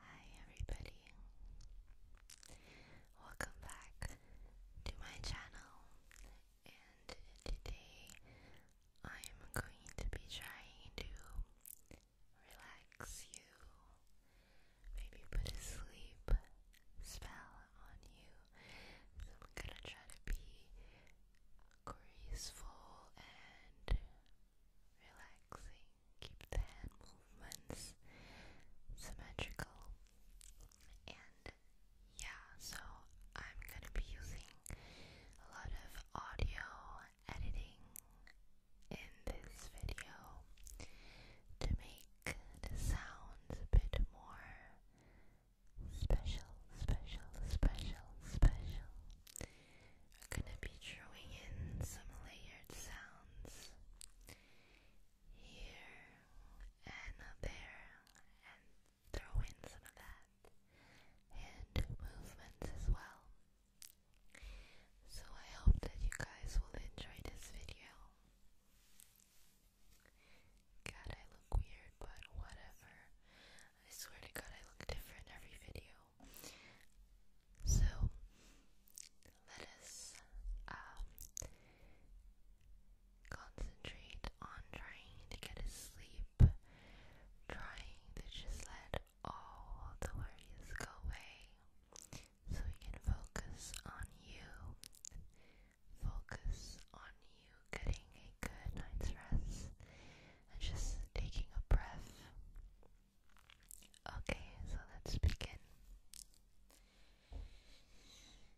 Hi everybody. Welcome back to my channel. And today I am going to be trying to relax you. Maybe put a sleep spell on you. So I'm going to try to be graceful and relaxing. Keep the hand movements symmetrical. And yeah, so I'm gonna be using a lot of audio editing in this video to make the sounds a bit more special, special, special, special. I'm gonna be drawing in some layered sounds here and there and throw in some of that and movements as well. So I hope that you guys will enjoy this video. God, I look weird, but whatever. I swear to God, I look different every video. So, let us um, concentrate on trying to get a trying to just let all the worries go away so we can focus on you. Focus on you getting a good night's rest just taking a breath. Okay, so let's begin.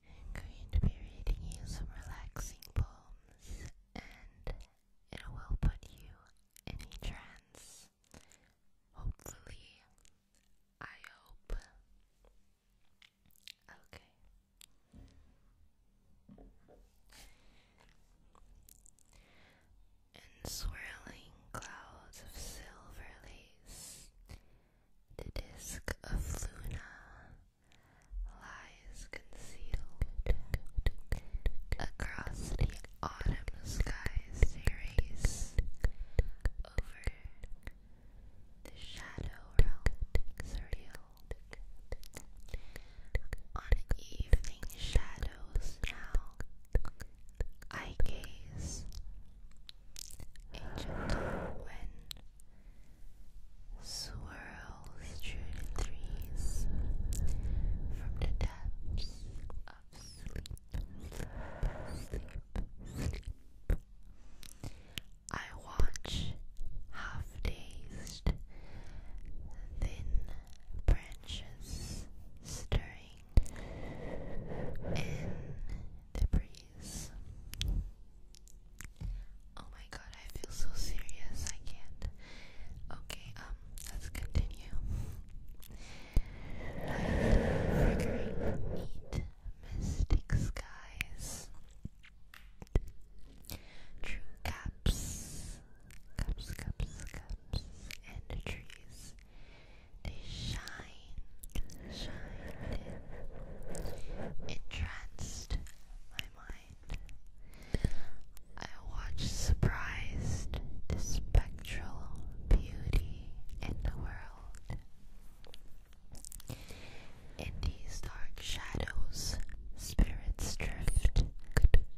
I'm going to be reading you some relaxing poems, and it will put you in a trance. Hopefully, I hope. Okay and swirling clouds of silver lace. The disk of Luna lies concealed across the autumn skies. They race over the shadow realm, on evening shadows now, I gaze a gentle wind swirls through the trees from the depths I watch half days thin branches stirring in the breeze. Oh my god, I feel so serious. I can't. Okay, um, let's continue. neat mystic skies. True cups, cups, cups, cups, and the trees. They shine, shine. Entranced my mind. I watched surprised the spectral beauty in the world these dark shadows, spirits drift,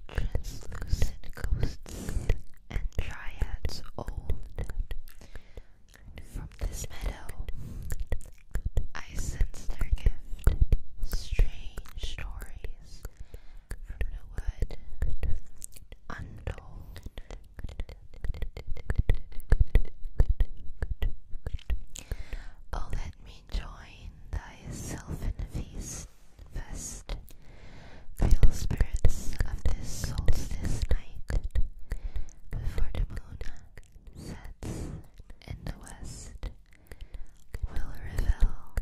translucent ghosts, and triads old. From this meadow, I sense their gift, strange stories from the wood, untold. Oh, let me join thyself in the feast, fest, fill spirits of this solstice night, before the moon sets in the west, will revel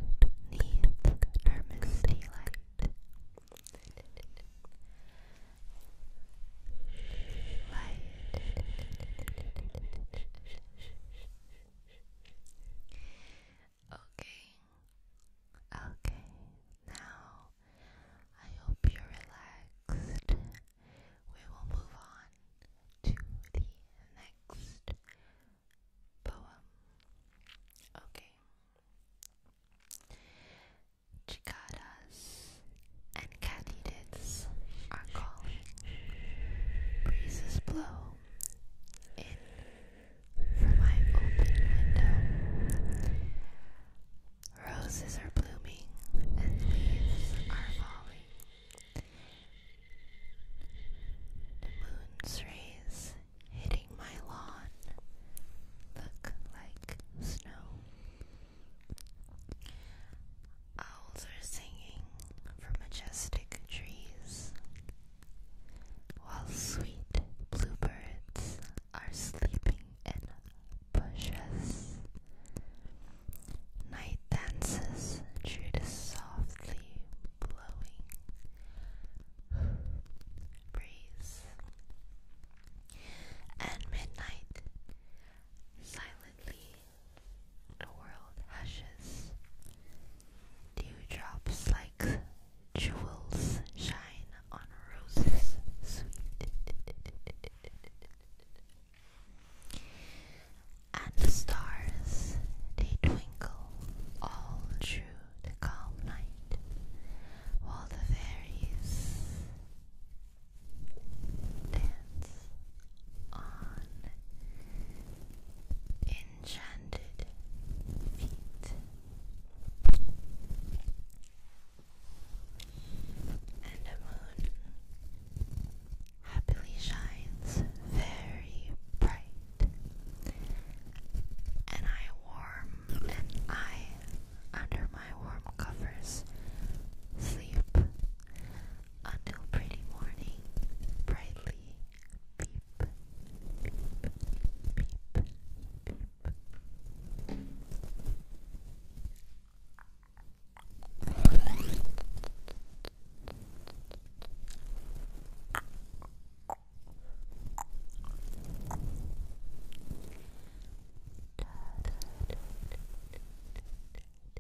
neath her misty light okay, okay, now I hope you're relaxed. We will move on to the next poem. Okay. Cicadas and catitas. Kids are calling. Breezes blow in from my open window. Roses are blooming and leaves are falling. The moon's rays hitting my lawn look like snow. Owls are singing from majestic trees, while sweet bluebirds are sleeping in bushes. Night dances through the softly blowing breeze, and midnight silently the world hushes. Dewdrops like jewels shine on roses And the stars, they twinkle all through the calm night, while the fairies dance on enchanted feet and a moon happily shines very bright and I warm and I under my warm covers sleep until pretty morning, brightly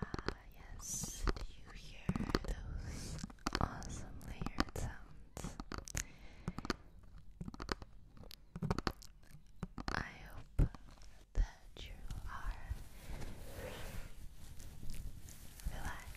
Ah, yes, do you hear those awesome layered sounds? I hope that you are relaxed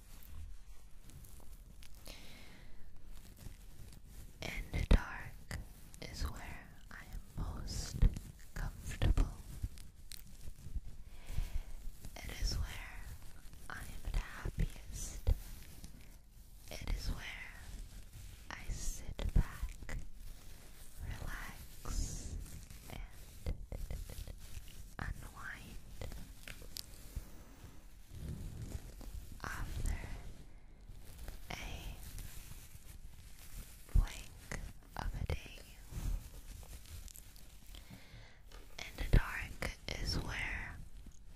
And the dark is where I am most comfortable. It is where I am the happiest. It is where I sit back, relax, and unwind after a blank of a day. In the dark is where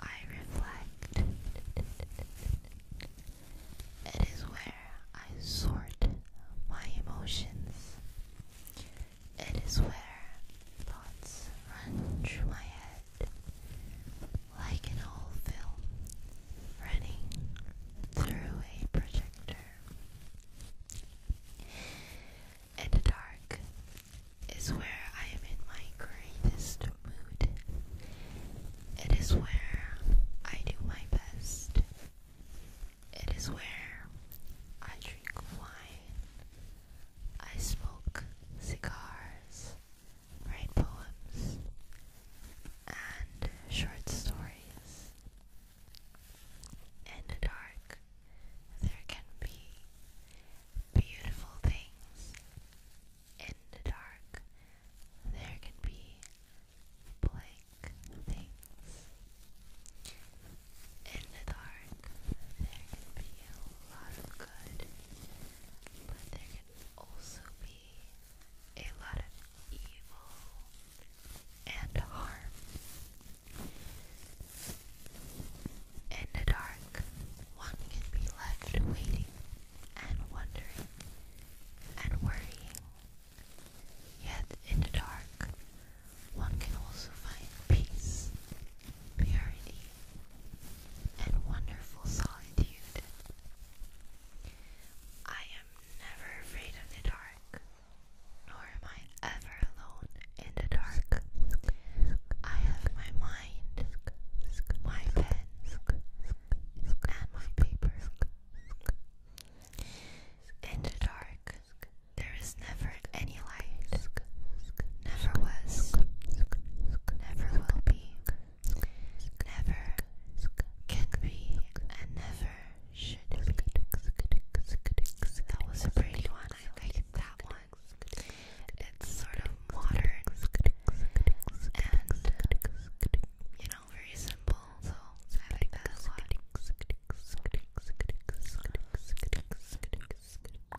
I reflect. It is where I sort my emotions. It is where thoughts run through my head like an old film running through a projector. And the dark is where I am in my greatest mood. It is where I do my best. It is where I drink wine I smoke cigars, write poems, and short stories. In the dark, there can be beautiful things. In the dark, there can be blank things. In the dark, there can be a lot of good, but there can also be a lot of evil and harm. In the dark, one can be left waiting and wondering and worrying. Yet in the dark, one can also find peace purity, and wonderful solitude. I am never afraid of the dark, nor am I ever alone in the dark. I have my mind, my pen, and my paper. In the dark, there is never any light. Never was. Never will be. Never can be. And never should be. That was a pretty one. I like that one. It's sort of modern and you know very simple. So I like that a lot.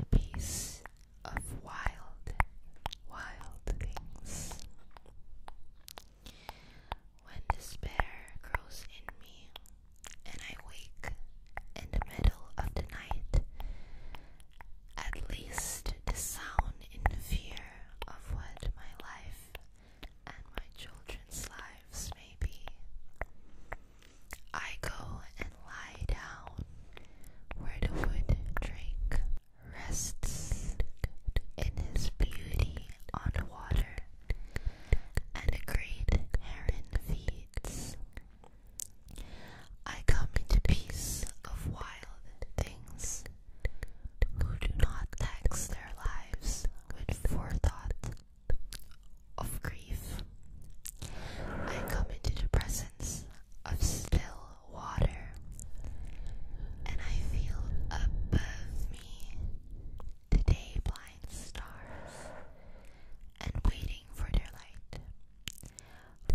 a piece of wild, wild things. When despair grows in me, and I wake in the middle of the night, at least the sound in fear of what my life and my children's lives may be. I go and lie down where the wood drake rests in his beauty on the water, and a great heron feeds. I come into peace of wild things who do not tax their lives with forethought of grief. I come into the presence of still water, and I feel above me the day blind stars, and waiting for their light.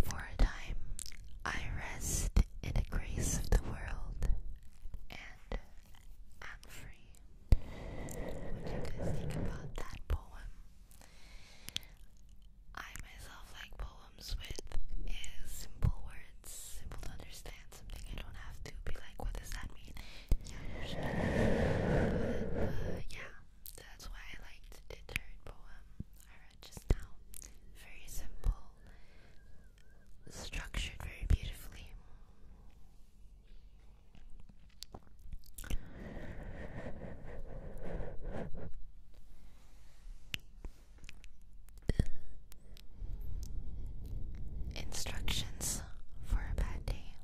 For a time, I rest in the grace of the world, and am free. What do you guys think about that poem? I myself like poems with uh, simple words, simple to understand, something I don't have to be like, what does that mean? Yeah, but, uh, yeah that's why I liked the third poem I read just now. Very simple, structured very beautifully. Instructions for a bad day.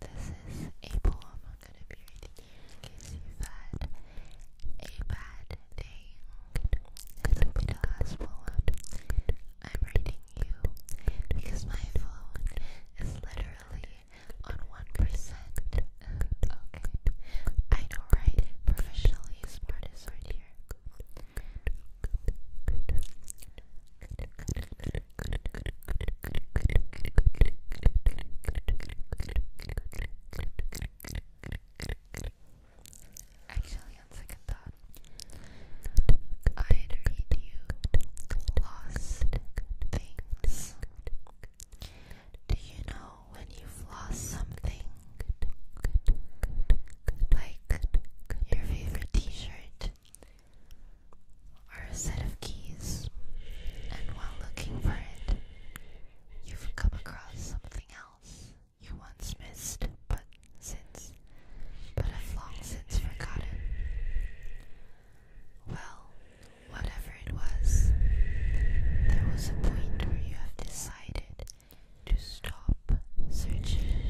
This is a poem I'm going to be reading in case you a bad day. I'm reading you because my phone is literally on 1%. Uh, okay. I know, right? Professionally smartest right here. Actually, on second thought, i read you lost things. Do you know when you've lost something? Like your favorite t shirt or a set of keys, and while looking for it, you've come across something else you once missed but since, but have long since forgotten. Well, whatever it was, there was a point where you have decided to stop searching.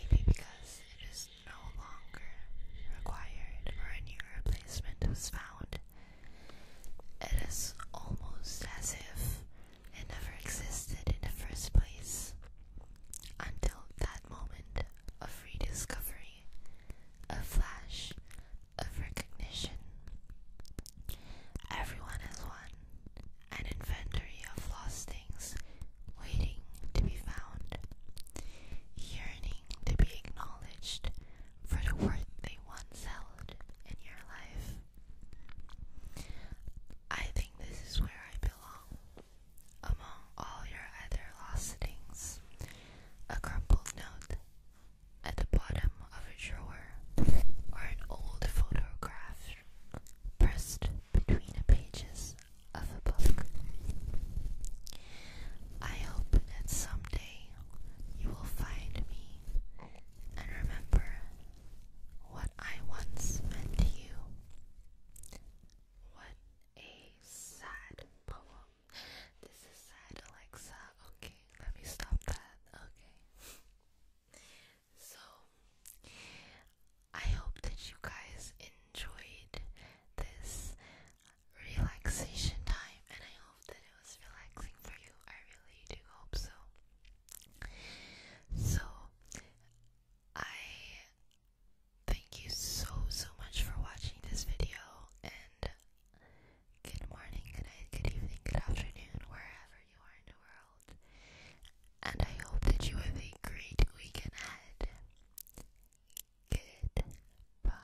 Maybe because it is no longer required or a new replacement was found. It is almost as if it never existed in the first place. Until that moment of rediscovery, a flash of recognition. Everyone has one, an inventory of lost things waiting to be found, yearning to be acknowledged for the worth they once held in your life. I think this is where I belong. Among all your other lost things, a crumpled note at the bottom of a drawer, or an old photograph pressed between the pages of a book. I hope that someday you will find me and remember what I once meant to you. What a sad poem. This is sad, Alexa. Okay, let me stop that. Okay. So, I hope that you guys enjoyed this relaxation time, and I hope that it was relaxing for you. I really do hope so. So, I Thank you so so much for watching this video and good morning, good night, good evening, good afternoon, wherever you are in the world. And I hope that you have a great weekend ahead. Goodbye.